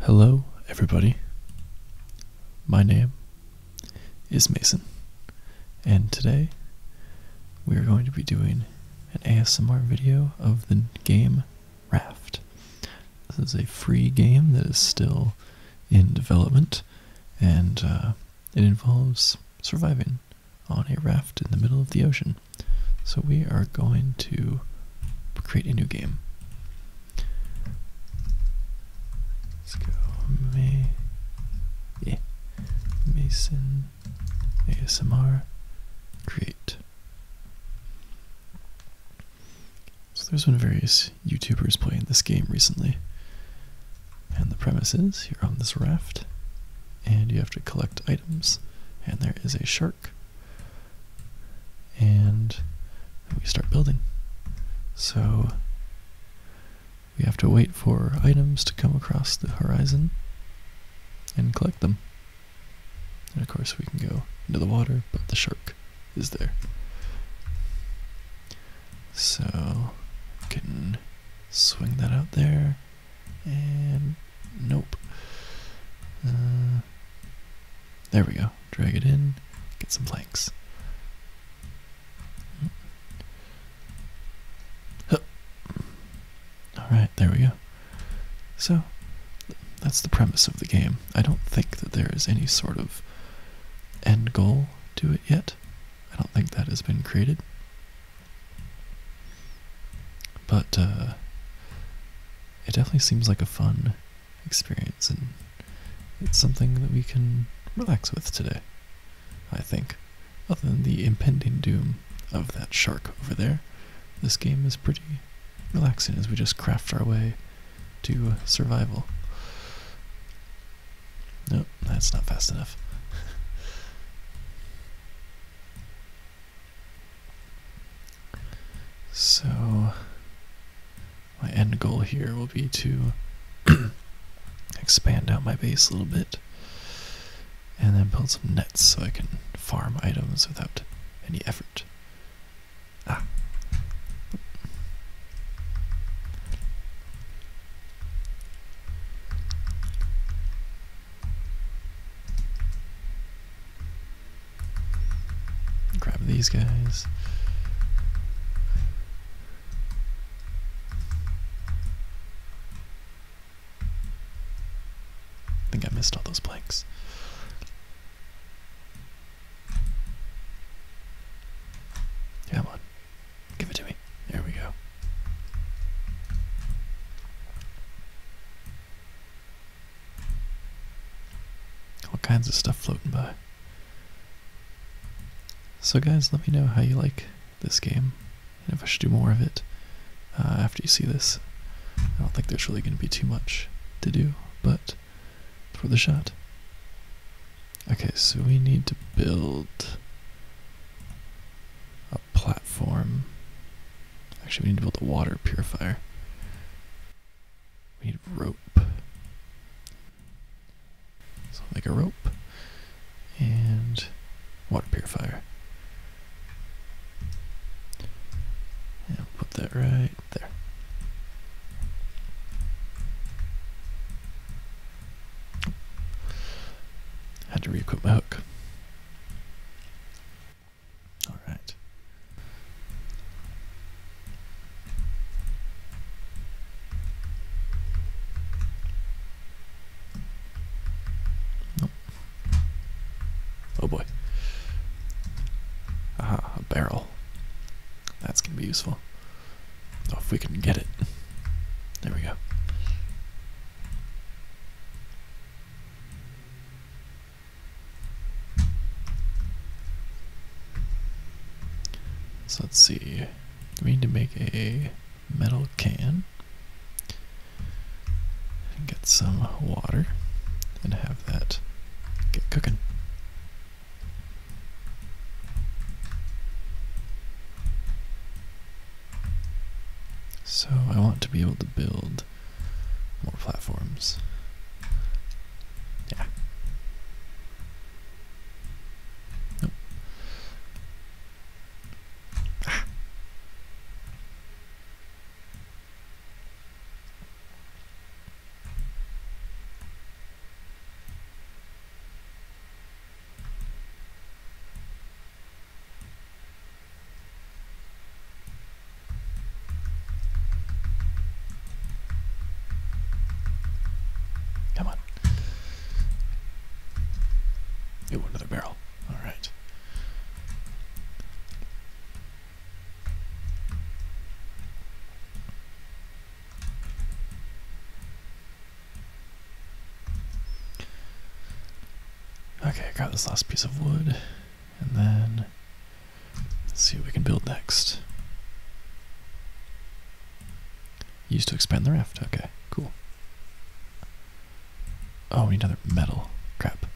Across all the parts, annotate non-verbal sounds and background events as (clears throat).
Hello, everybody. My name is Mason, and today we are going to be doing an ASMR video of the game Raft. This is a free game that is still in development, and uh, it involves surviving on a raft in the middle of the ocean. So we are going to create a new game. Let's go May yeah. Mason ASMR create. So there's been various YouTubers playing this game recently. And the premise is you're on this raft and you have to collect items and there is a shark and we start building. So we have to wait for items to come across the horizon and collect them. And of course we can go into the water, but the shark is there? So can swing that out there and nope. Uh, there we go. Drag it in, get some planks. Alright, there we go. So, that's the premise of the game. I don't think that there is any sort of end goal to it yet. I don't think that has been created. But uh, it definitely seems like a fun experience, and it's something that we can relax with today, I think. Other than the impending doom of that shark over there, this game is pretty relaxing as we just craft our way to uh, survival. No, that's not fast enough. (laughs) so, my end goal here will be to (clears throat) expand out my base a little bit and then build some nets so I can farm items without any effort. Ah. Grab these guys. I think I missed all those blanks. Come on. Give it to me. There we go. All kinds of stuff floating by. So guys, let me know how you like this game, and if I should do more of it uh, after you see this. I don't think there's really going to be too much to do, but for the shot. Okay, so we need to build a platform. Actually, we need to build a water purifier. We need rope. So i make a rope and water purifier. Yeah, put that right right Had to re-equip my hook. All right. Oh boy. Aha, a barrel. That's gonna be useful. Oh, if we can get it. There we go. So let's see. We need to make a metal can get some water and have that get cooking. So I want to be able to build more platforms. Yeah. Ah. Come on. Ooh, another barrel. All right. Okay, I got this last piece of wood, and then let's see what we can build next. Used to expand the raft, okay, cool. Oh, we need another metal. Crap.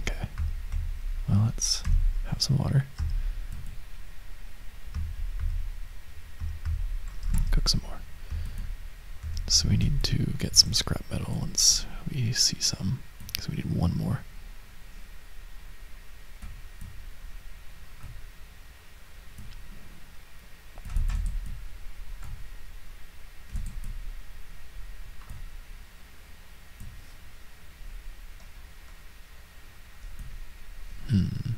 Okay. Well, let's have some water. Cook some more. So we need to get some scrap metal once we see some, because we need one more. Hmm.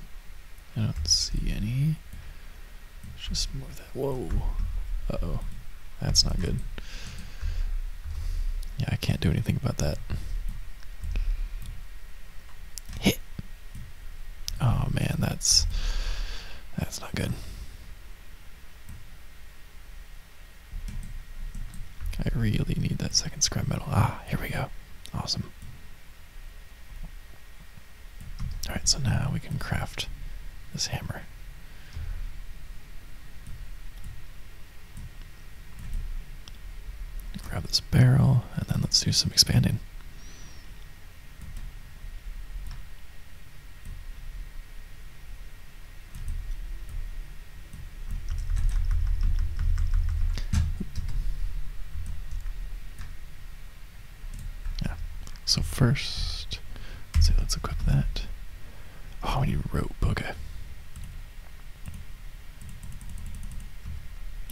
I don't see any. It's just more that. Whoa. oh. That's not good. Yeah, I can't do anything about that. Hit. Oh man, that's that's not good. I really need that second scrap metal. Ah, here we go. Awesome. Alright, so now we can craft this hammer. Grab this barrel, and then let's do some expanding. Yeah. So first, let's see, let's equip that. Oh, you rope, okay.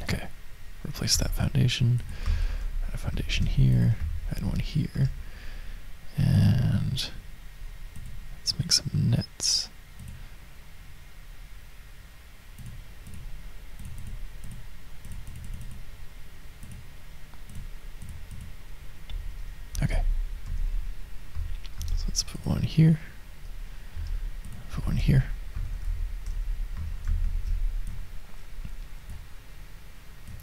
Okay, replace that foundation. Add a foundation here, add one here, and let's make some nets. Okay. So let's put one here. Put one here.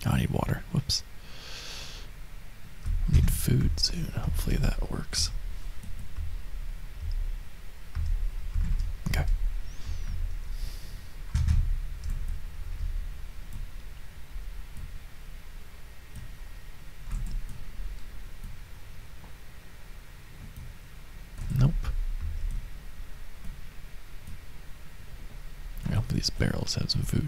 I need water. Whoops. Need food soon. Hopefully that works. Okay. Nope. I hope these barrels have some food.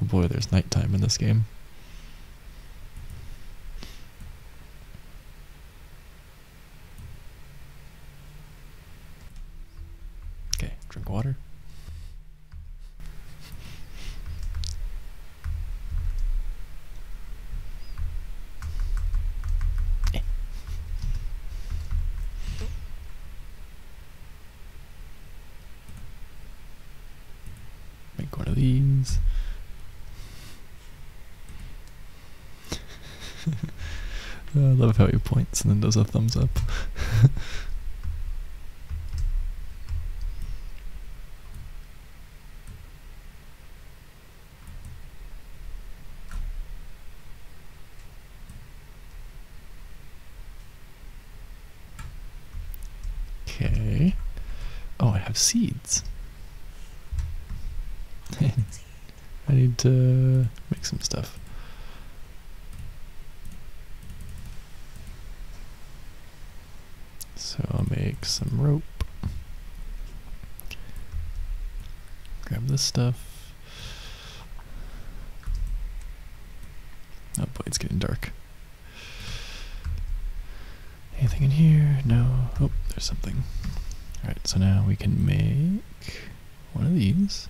Oh boy, there's night time in this game. Okay, drink water. Make one of these. I love how he points and then does a thumbs up. Okay. Oh, I have seeds. (laughs) I need to make some stuff. So I'll make some rope. Grab this stuff. Oh boy, it's getting dark. Anything in here? No. Oh, there's something. Alright, so now we can make one of these.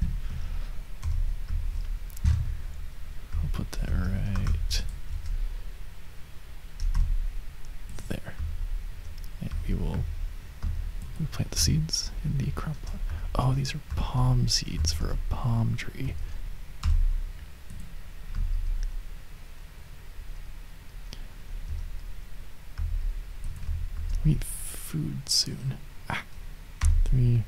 I'll put that right there. And we will plant the seeds in the crop pot. Oh, these are palm seeds for a palm tree. We need food soon. Ah, three.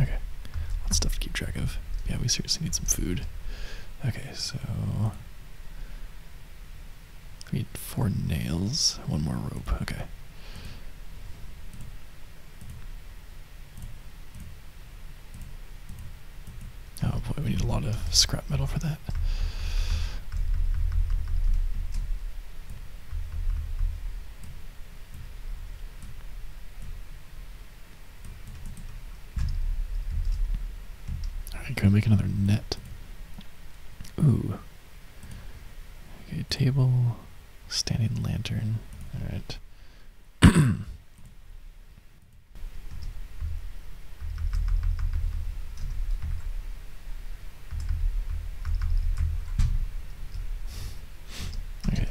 Okay, lots of stuff to keep track of. Yeah, we seriously need some food. Okay, so we need four nails, one more rope, okay. Oh boy, we need a lot of scrap metal for that. Alright, go make another net. Ooh, Okay, table, standing lantern. Alright. (clears throat) okay,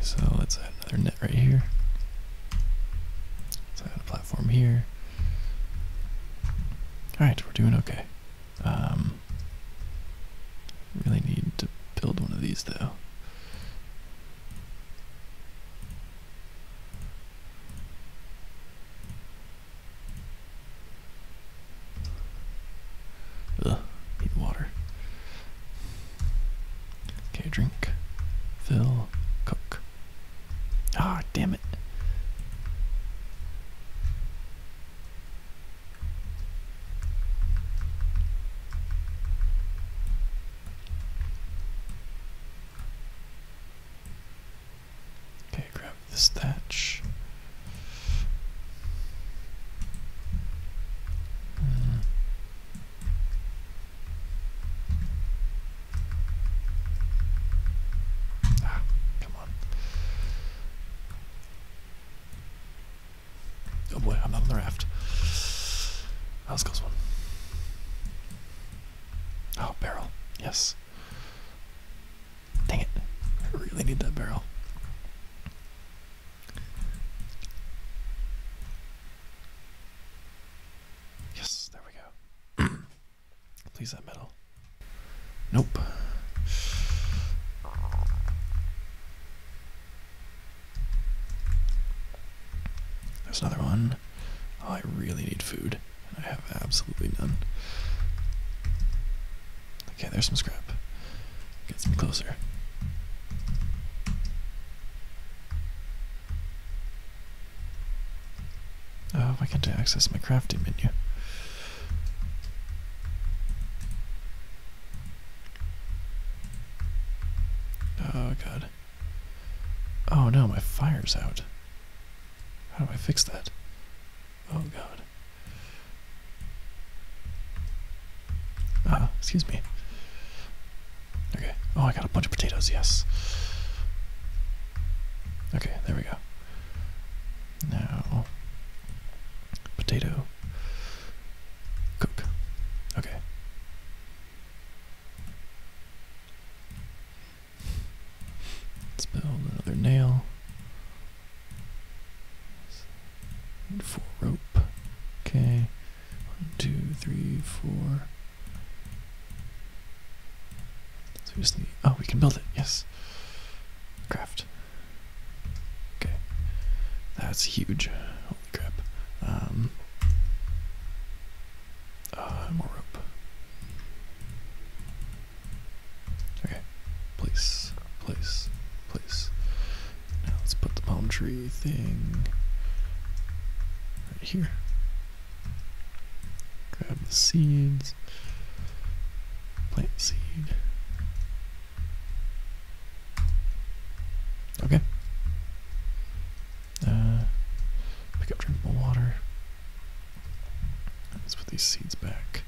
so let's add another net right here. Let's add a platform here. Alright, we're doing okay. Um, really need to build one of these though. Ugh, need water. Okay, drink, fill, cook. Ah, oh, damn it. Okay, grab this thatch. Hmm. Ah, Come on. Oh boy, I'm not on the raft. House goes one. Oh, barrel. Yes. Dang it. I really need that barrel. Yes, there we go. (clears throat) Please that metal. Nope. There's another one. Oh, I really need food, and I have absolutely none. Okay, there's some scrap. Get some closer. Oh, why can't I access my crafting menu? Oh, God. Oh, no, my fire's out. How do I fix that? Oh, God. Ah, excuse me. Okay. Oh, I got a bunch of potatoes, yes. Okay, there we go. Now, potato, cook. Okay. let another nail. four rope. Okay. One, two, three, four. Oh, we can build it. Yes. Craft. Okay. That's huge. Holy crap. Um, uh, more rope. Okay. Place. Place. Place. Now let's put the palm tree thing right here. Grab the seeds. Plant seed. Okay. Uh, pick up drinkable water. Let's put these seeds back.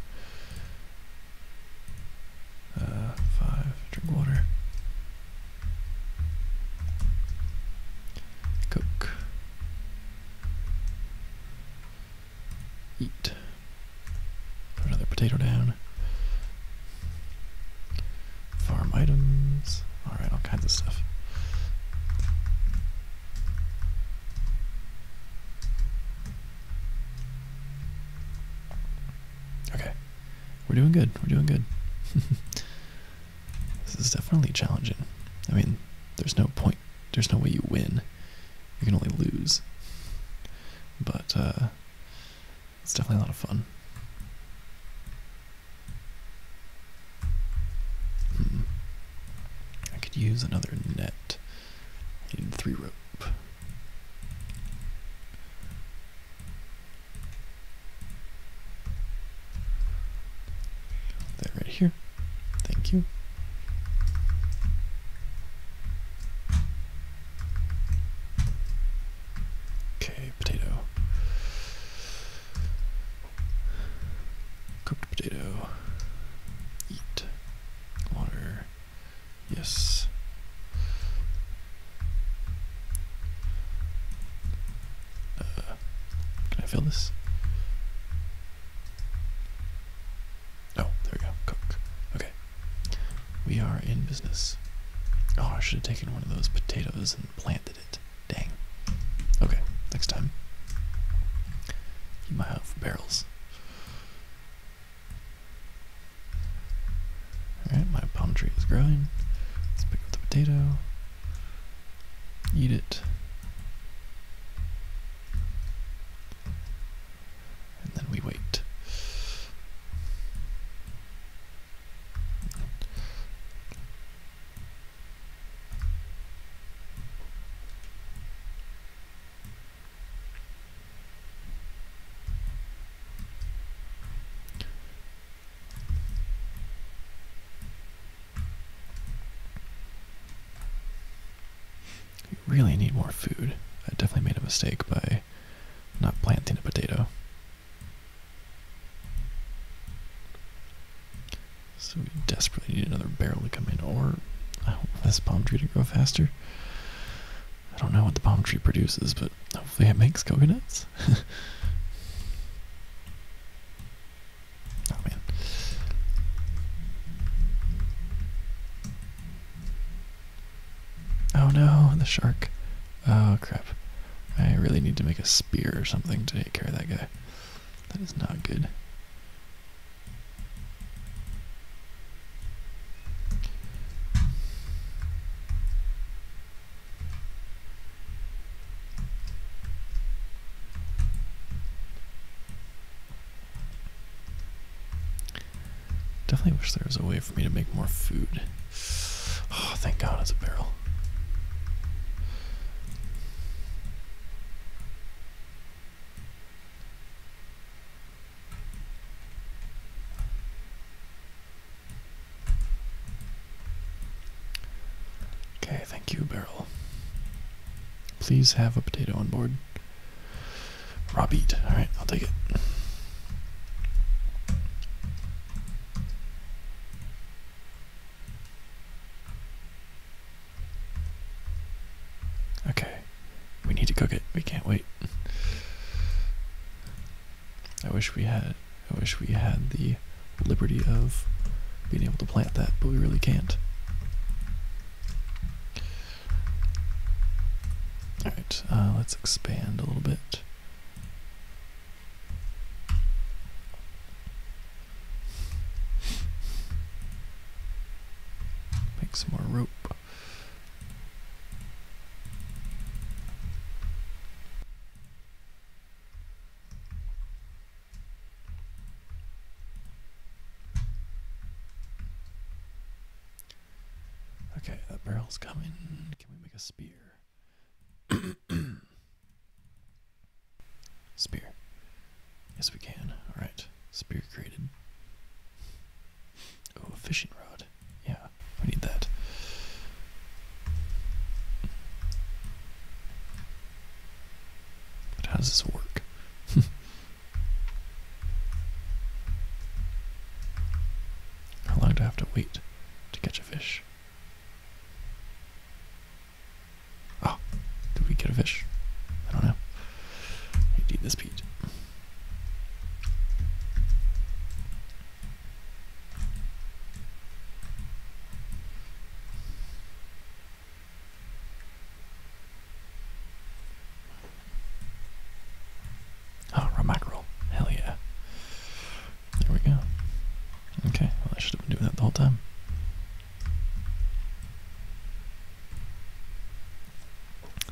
Uh, five, drink water. Cook eat. another potato down. Farm items. Alright, all kinds of stuff. Okay. We're doing good. We're doing good. (laughs) this is definitely challenging. I mean, there's no point. There's no way you win you can only lose. But uh, it's definitely a lot of fun. Hmm. I could use another net in three rope. That right here. Thank you. Okay, potato. Cooked potato. Eat. Water. Yes. Uh, can I fill this? Oh, there we go. Cook. Okay. We are in business. Oh, I should have taken one of those potatoes and planted it. Dang. Okay, next time. Keep my eye barrels. Alright, my palm tree is growing. Let's pick up the potato. Eat it. And then we wait. We really need more food. I definitely made a mistake by not planting a potato. So we desperately need another barrel to come in, or I hope this palm tree to grow faster. I don't know what the palm tree produces, but hopefully it makes coconuts. (laughs) Oh man. Oh no, the shark. Oh crap. I really need to make a spear or something to take care of that guy. That is not good. Definitely wish there was a way for me to make more food. Oh, thank God it's a barrel. Okay, thank you, barrel. Please have a potato on board. Raw beet. Alright, I'll take it. Okay. We need to cook it. We can't wait. I wish we had I wish we had the liberty of being able to plant that, but we really can't. Alright, uh, let's expand a little bit. Make some more rope. Okay, that barrel's coming. Can we make a spear? (clears throat) spear. Yes, we can. Alright, spear created. Oh, fishing rod. Yeah, we need that. But how does this work? (laughs) how long do I have to wait to catch a fish? Oh, did we get a fish? I don't know. need this Pete. Oh, raw mackerel. Hell yeah. There we go. Okay, well I should have been doing that the whole time.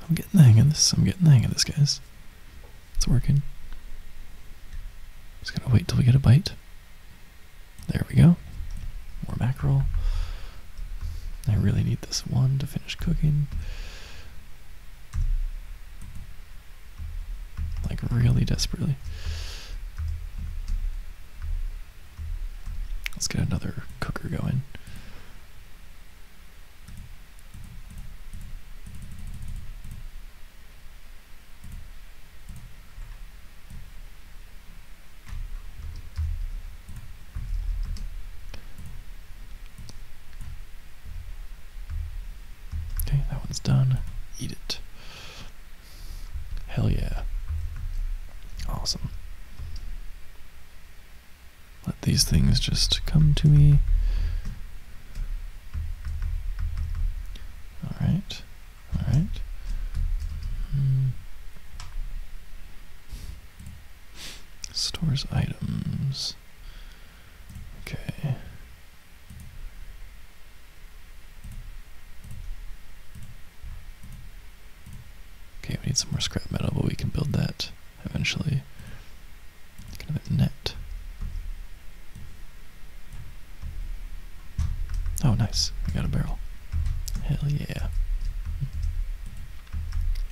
I'm getting the hang of this. I'm getting the hang of this, guys. It's working. Just gotta wait till we get a bite. There we go. More mackerel. I really need this one to finish cooking. Like, really desperately. Let's get another cooker going. Okay, that one's done. Eat it. Hell yeah. Awesome. Let these things just come to me. Alright. Alright. Hmm. Stores items. Okay. Okay, we need some more scrap metal, but we can build that eventually. Kind a net. Oh, nice. We got a barrel. Hell yeah.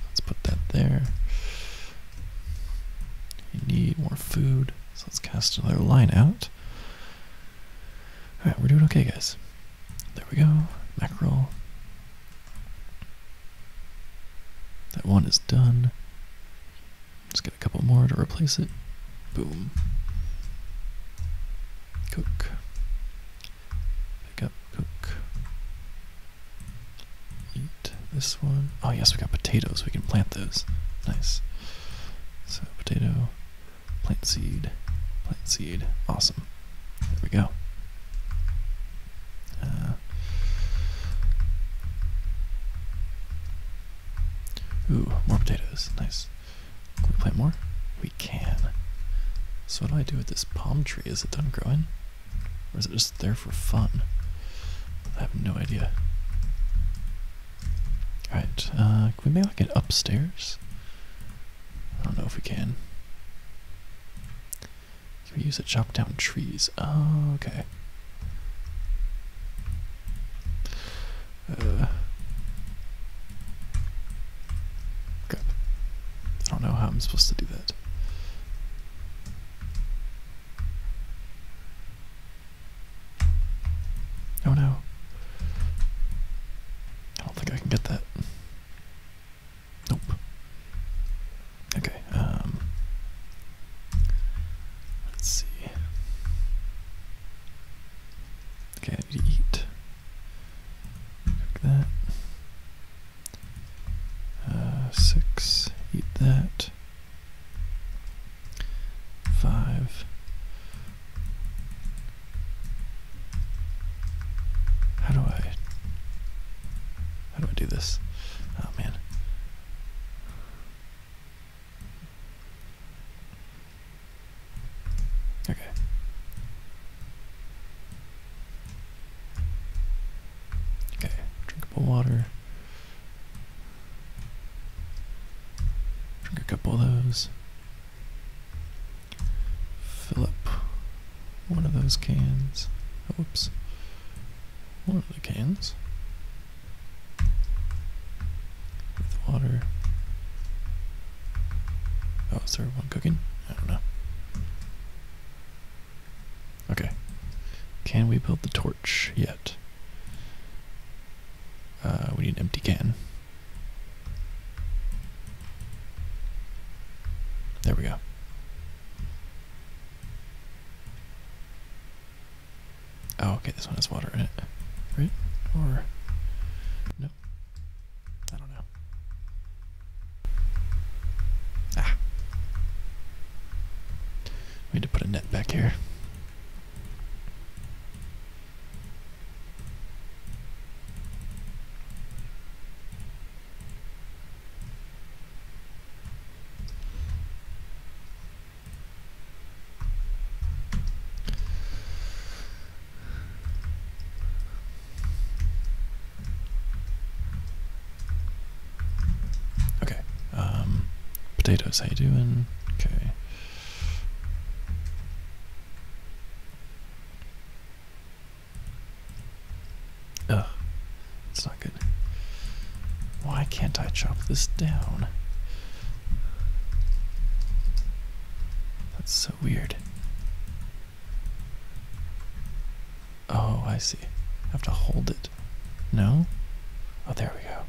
Let's put that there. You need more food. So let's cast another line out. Alright, we're doing okay, guys. There we go. Mackerel. That one is done. Let's get a couple more to replace it. Boom cook, pick up, cook, eat this one. Oh yes, we got potatoes. We can plant those. Nice. So potato, plant seed, plant seed. Awesome. There we go. Uh, ooh, more potatoes. Nice plant more? We can. So what do I do with this palm tree? Is it done growing? Or is it just there for fun? I have no idea. Alright, uh, can we make like an upstairs? I don't know if we can. Can we use it to chop down trees? Oh, okay. Uh, I don't know how I'm supposed to do that. Oh no. I don't think I can get that. Nope. Okay, um let's see. Okay, I eat that. Uh, six, eat that. Five. How do I how do I do this? Oh man. Okay. Okay, drinkable water. Drink a couple of those. Fill up one of those cans. Oops. One of the cans with water. Oh, is there one cooking? I don't know. Okay. Can we build the torch yet? Uh, we need an empty can. There we go. Oh, okay, this one has water in it. Right? Or... No. I don't know. Ah. We need to put a net back here. Okay. Um, potatoes, how you doing? Okay. Ugh, it's not good. Why can't I chop this down? That's so weird. Oh, I see. I have to hold it. No? Oh, there we go.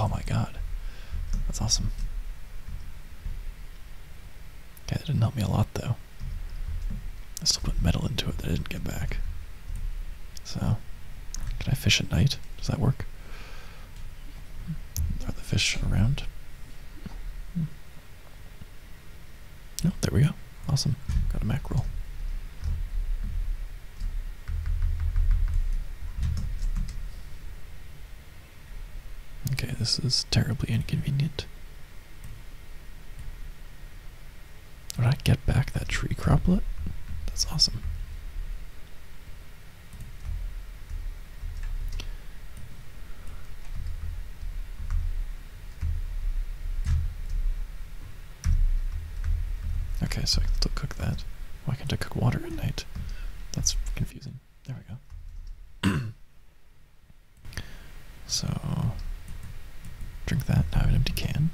Oh my god. That's awesome. Okay, that didn't help me a lot though. I still put metal into it that I didn't get back. So, can I fish at night? Does that work? Are the fish around? Oh, there we go. Awesome. Got a mackerel. Okay, this is terribly inconvenient. Would I get back that tree croplet? That's awesome. Okay, so I can still cook that. Why can't I cook water at night? That's confusing. There we go. (clears throat) so, drink that. Now I have an empty can.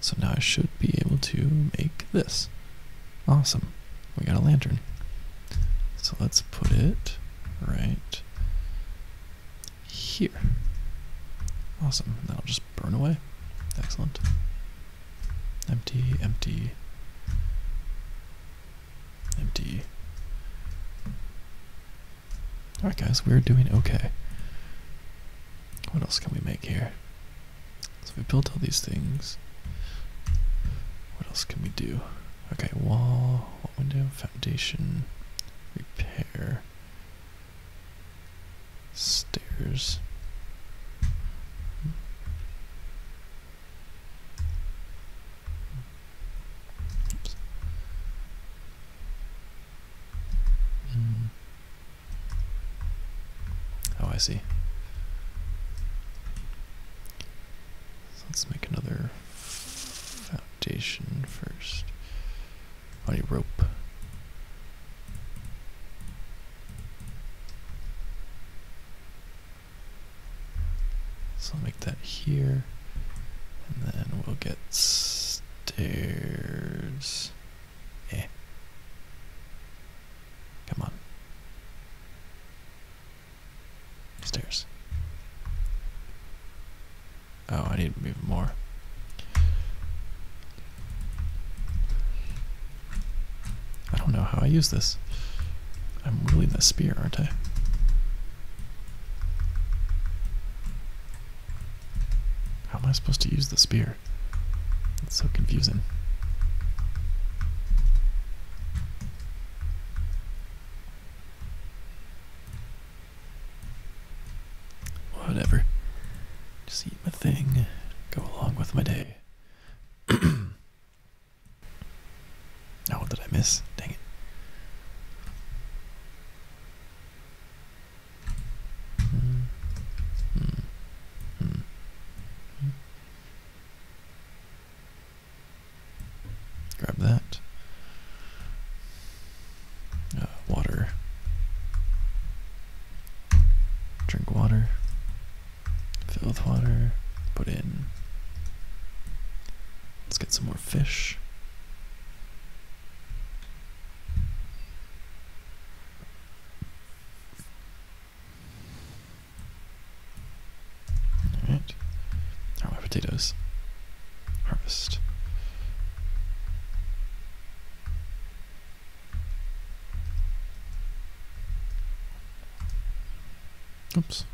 So now I should be able to make this. Awesome. We got a lantern. So let's put it right here. Awesome. That'll just burn away. Excellent. Empty, empty, empty. Alright guys, we're doing okay. What else can we make here? So we built all these things. What else can we do? Okay, wall, wall window, foundation, repair, stairs. Hmm. Oh, I see. let's make another foundation first. I you rope. So I'll make that here, and then we'll get stairs. Eh. Come on. Stairs. Oh, I need to move more. I don't know how I use this. I'm wielding the spear, aren't I? How am I supposed to use the spear? It's so confusing. Whatever. Just eat my thing, go along with my day. Now (clears throat) oh, what did I miss? Dang it. Hmm. Hmm. Hmm. Grab that. Uh, water. Drink water. Fill with water. Put in. Let's get some more fish. Alright. How potatoes? Harvest. Oops.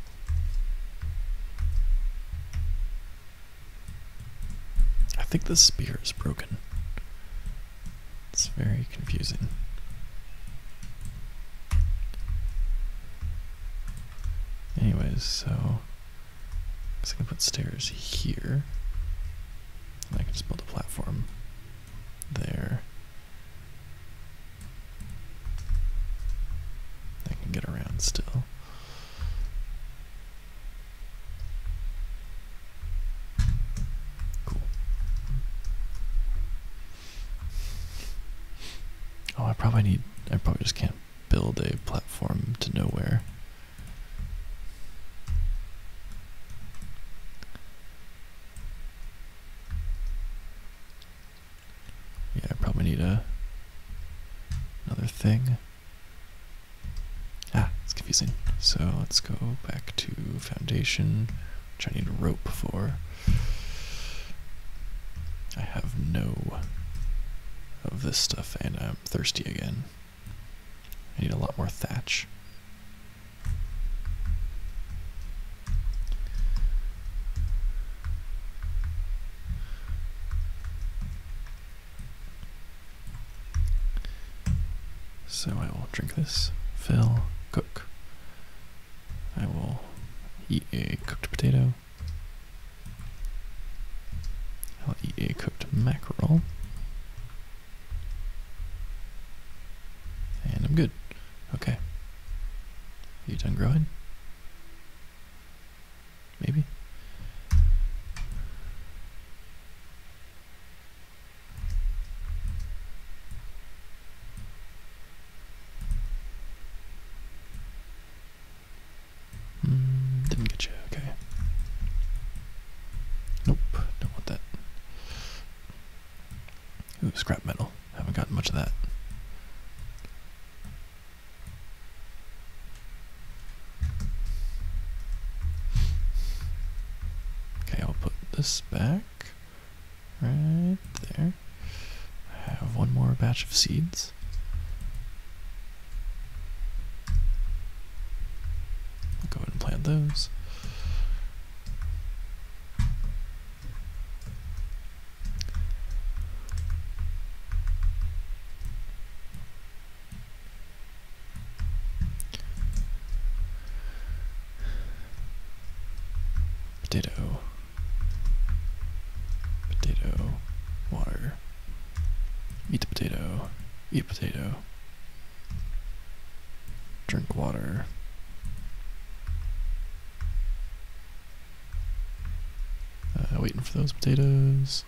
I think the spear is broken. It's very confusing. Anyways, so I'm gonna put stairs here. And I can just build a platform there. I can get around still. Oh, I probably need. I probably just can't build a platform to nowhere. Yeah, I probably need a another thing. Ah, it's confusing. So let's go back to foundation which I need rope for. I have no of this stuff, and I'm thirsty again. I need a lot more thatch. So I will drink this, fill, cook. I will eat a cooked potato. I'll eat a cooked mackerel. And I'm good. Okay. Are you done growing? Maybe? Mm, didn't get you, okay. Nope, don't want that. Ooh, scrap metal. Haven't gotten much of that. Okay, I'll put this back. Right there. I have one more batch of seeds. go ahead and plant those. Potato. Potato. Water. Eat the potato. Eat potato. Drink water. Uh, waiting for those potatoes.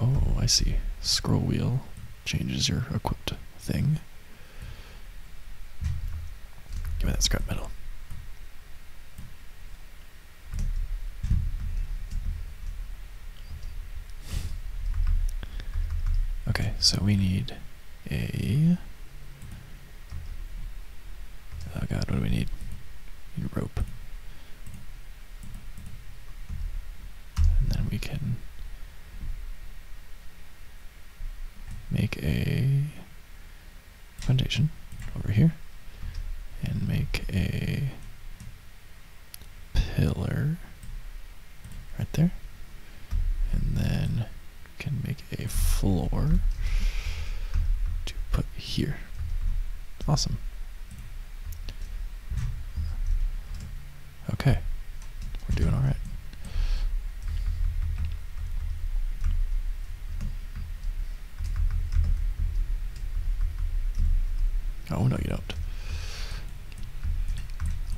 Oh, I see. Scroll wheel changes your equipped thing. Give me that scrap metal. Okay, so we need a... Oh god, what do we need? We rope. And then we can make a foundation over here and make a pillar right there and then can make a floor to put here awesome Okay, we're doing all right. Oh, no, you don't.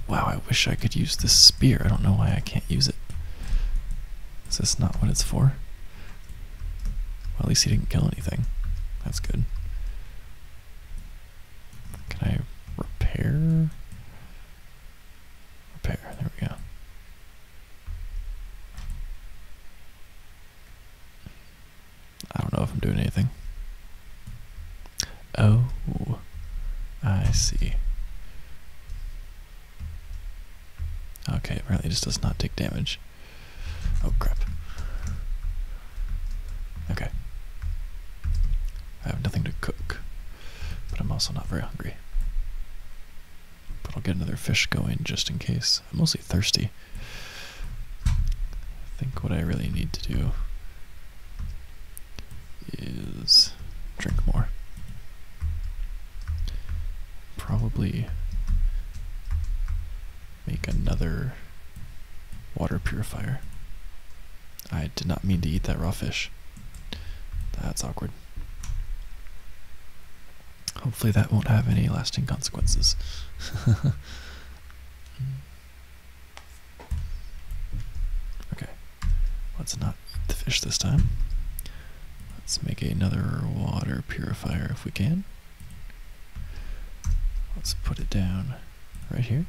Wow, I wish I could use this spear. I don't know why I can't use it. Is this not what it's for? Well, at least he didn't kill anything. That's good. Can I repair? Repair, there we go. I don't know if I'm doing anything. Oh, I see. Okay, apparently it just does not take damage. Oh crap. Okay. I have nothing to cook, but I'm also not very hungry. But I'll get another fish going just in case. I'm mostly thirsty. I think what I really need to do is drink more. Probably make another water purifier. I did not mean to eat that raw fish. That's awkward. Hopefully, that won't have any lasting consequences. (laughs) okay, let's not eat the fish this time. Let's make another water purifier if we can. Let's put it down right here.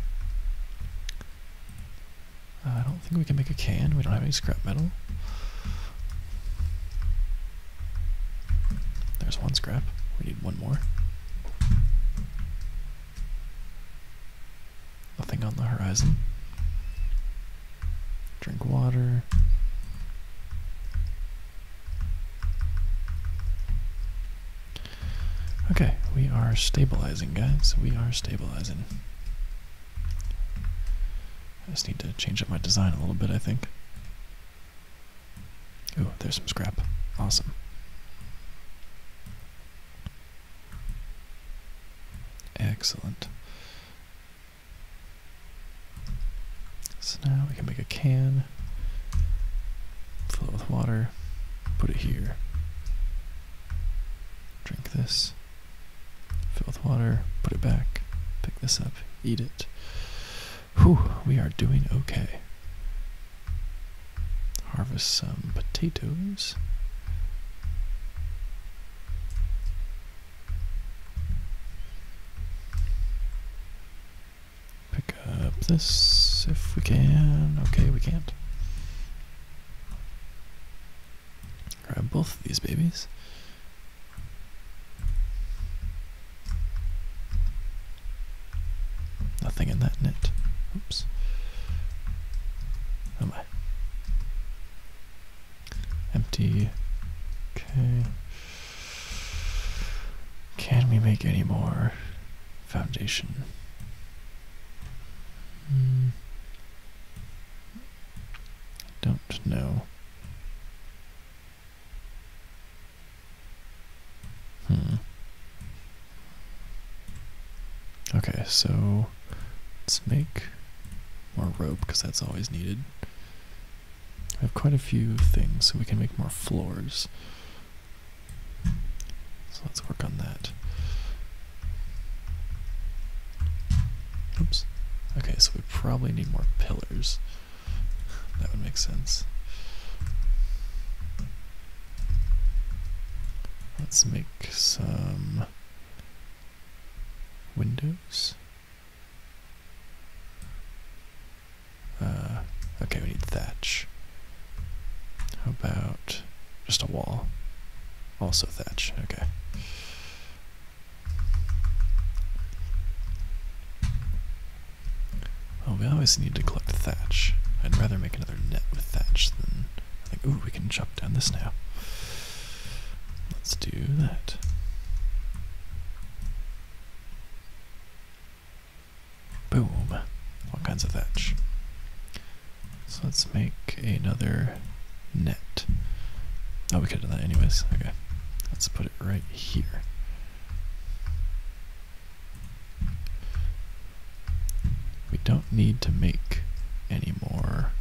Uh, I don't think we can make a can. We don't have any scrap metal. There's one scrap. We need one more. Nothing on the horizon. Drink water. Okay, we are stabilizing, guys. We are stabilizing. I just need to change up my design a little bit, I think. Ooh, there's some scrap. Awesome. Excellent. So now we can make a can, fill it with water, put it here, Drink this, fill with water, put it back, pick this up, eat it. Whew, we are doing okay. Harvest some potatoes. Pick up this if we can. Okay, we can't. Grab both of these babies. Nothing in that net. Oops. Oh my. Empty. Okay. Can we make any more foundation? Mm. Don't know. Hmm. Okay, so let's make more rope because that's always needed. I have quite a few things, so we can make more floors. So let's work on that. Oops. Okay, so we probably need more pillars. That would make sense. Let's make some windows. Uh, okay, we need thatch. How about just a wall? Also thatch, okay. Oh, we always need to collect thatch. I'd rather make another net with thatch than... think, ooh, we can chop down this now. Let's do that. Boom. What kinds of thatch. So let's make another net. Oh, we could have done that anyways. Okay. Let's put it right here. We don't need to make any more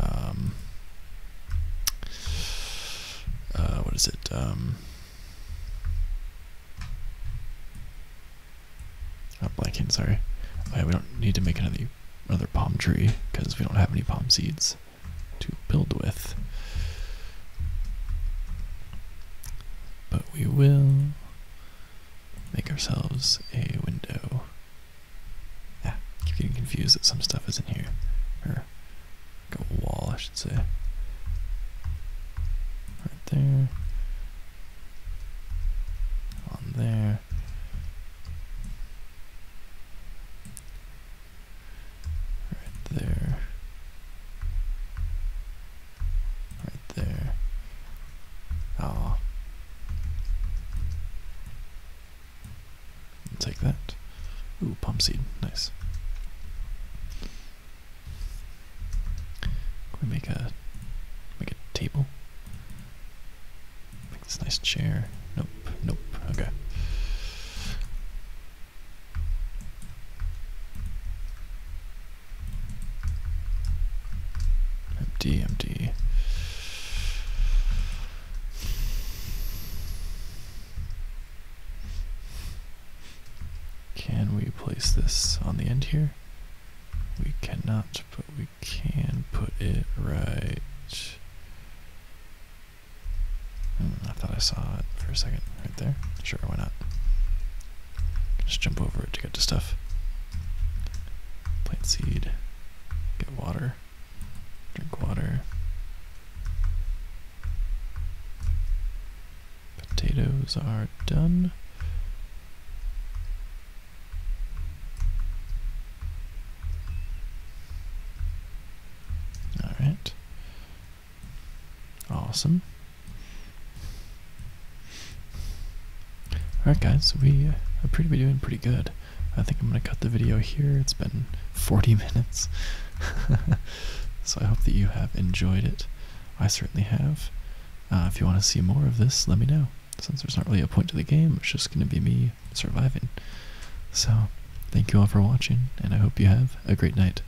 um, uh, what is it? Um, not blanking, sorry. Oh, we don't need to make another another palm tree because we don't have any palm seeds to build with. But we will make ourselves a window. Ah, keep getting confused that some stuff is not here. Or a wall, I should say. Right there on there. Right there. Right there. Ah. Take that. Ooh, pump seed. Nice. Can we make a make a table? Make this nice chair. Nope. Nope. Okay. Empty. Empty. Can we place this on the end here? We cannot, but we can put it right. Hmm, I thought I saw it for a second right there. Sure, why not? Just jump over it to get to stuff. Plant seed. Get water. Drink water. Potatoes are done. All right. Awesome. Alright guys, we appear to be doing pretty good. I think I'm going to cut the video here. It's been 40 (laughs) minutes. (laughs) so I hope that you have enjoyed it. I certainly have. Uh, if you want to see more of this, let me know. Since there's not really a point to the game, it's just going to be me surviving. So, thank you all for watching, and I hope you have a great night.